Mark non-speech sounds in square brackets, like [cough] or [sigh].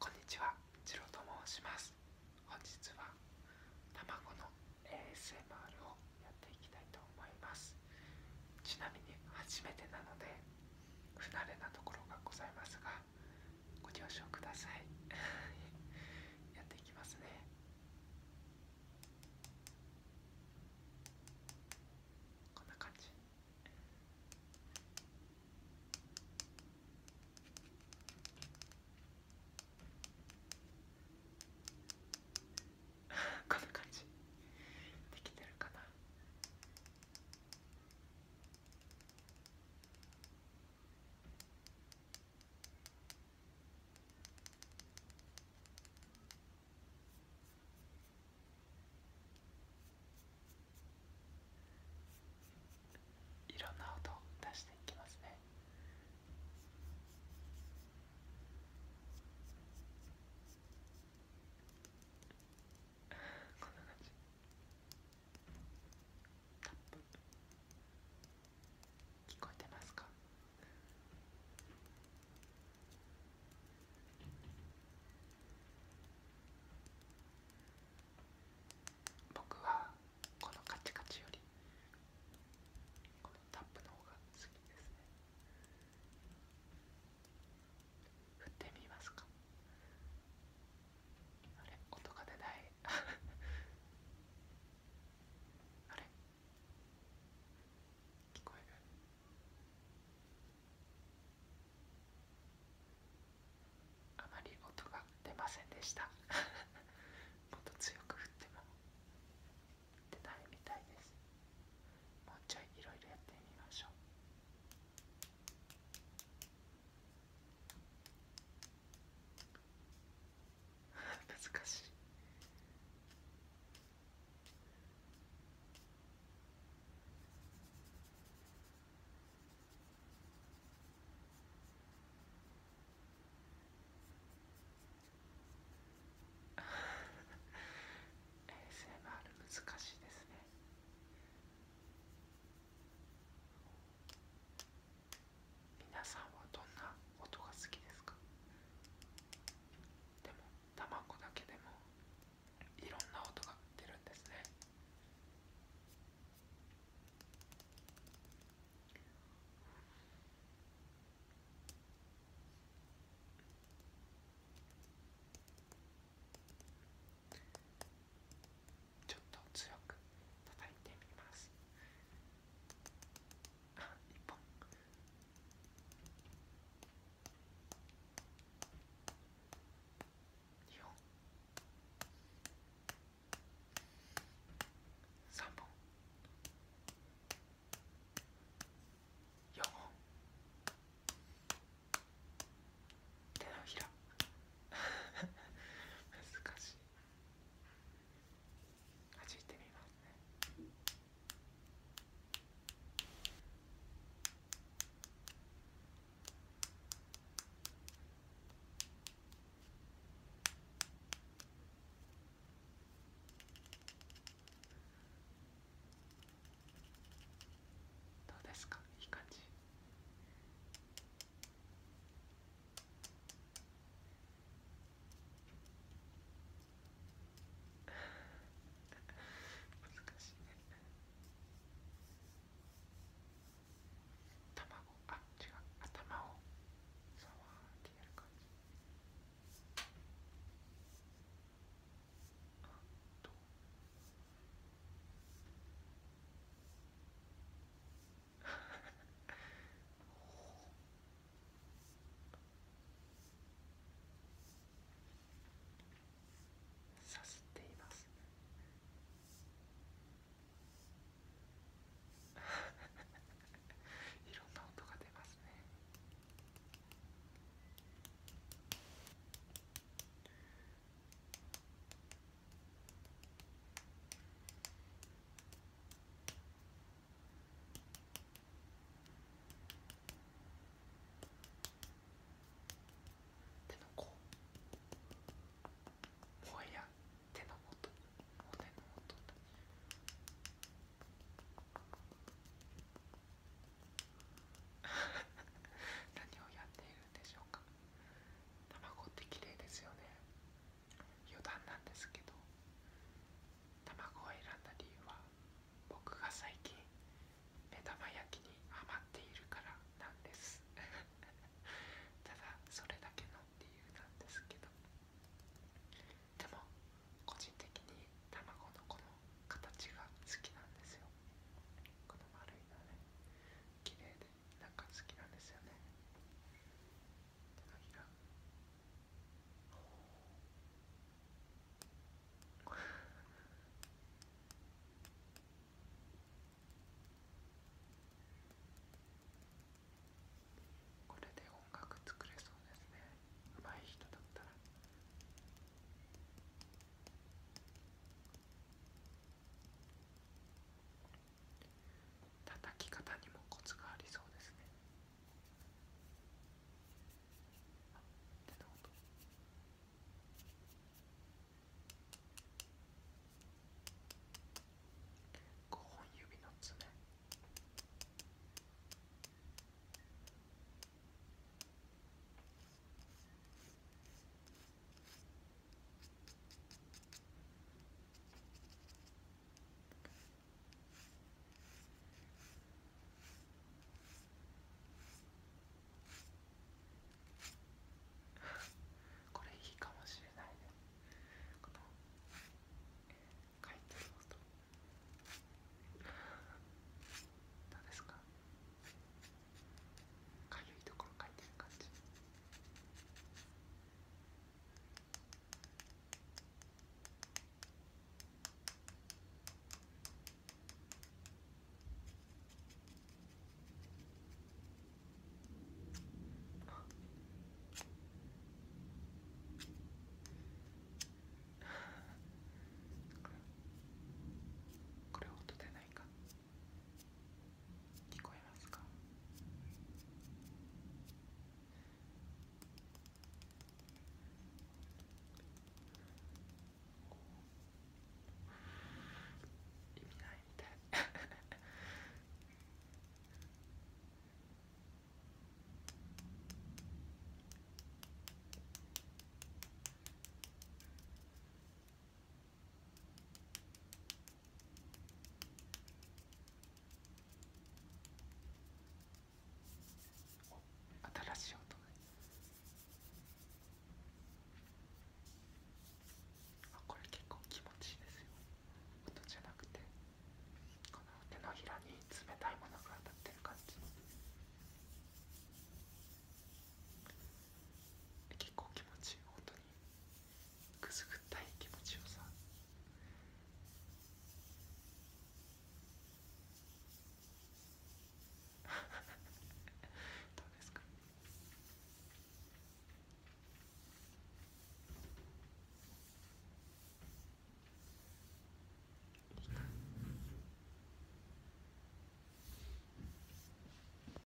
こんにちは、ジロと申します。本日は卵の ASMR をやっていきたいと思います。ちなみに初めてなので不慣れなところがございますが、ご了承ください。[laughs] やっていきますね。こんな感じ。[laughs] こんな感じできてるかないろんな音を出していきますねこんな感じタップ聞こえてますか僕はこのカチカチよりこのタップの方が好きですね振ってみますかあれ音が出ない [laughs] あれ聞こえるあまり音が出ませんでした [laughs] もっと強く振っても出たいみたいですもうちょいいろいろやってみましょう [laughs] 難しい衛 a s ある難しいですね皆さんはどんな音が好きですかでも卵だけでもいろんな音が出るんですねちょっと強く叩いてみますあ一本2本3本4本手のひら難しいはじいてみますねどうですかいい感じ難しいね卵あ違う頭をさわってやる感じあとおさすっています [laughs] いろんな音が出ますね手の甲もはや手の元骨の元何をやっているんでしょうか卵って綺麗ですよね余談なんですけど卵を選んだ理由は僕が最近目玉焼きにハマっているからなんです [laughs] ただそれだけの理由なんですけどでも個人的に卵のこの形が好きなんですよこの丸いのね綺麗でなか好きなんですよね手のひらこれで音楽作れそうですね上手い人だったら。叩き方にもコツがありそうですねあ手の音5本指の爪これいいかもしれないねこの書いてる音どうですかかゆいところ書いてる感じこれ音出ないか。聞こえますか意味ないみたい新しい音がこれ結構気持ちいいですよ音じゃなくてこの手のひらに冷たいものが当たってる感じ結構気持ちいい本当にくすぐったい気持ちをさ [laughs] どうですか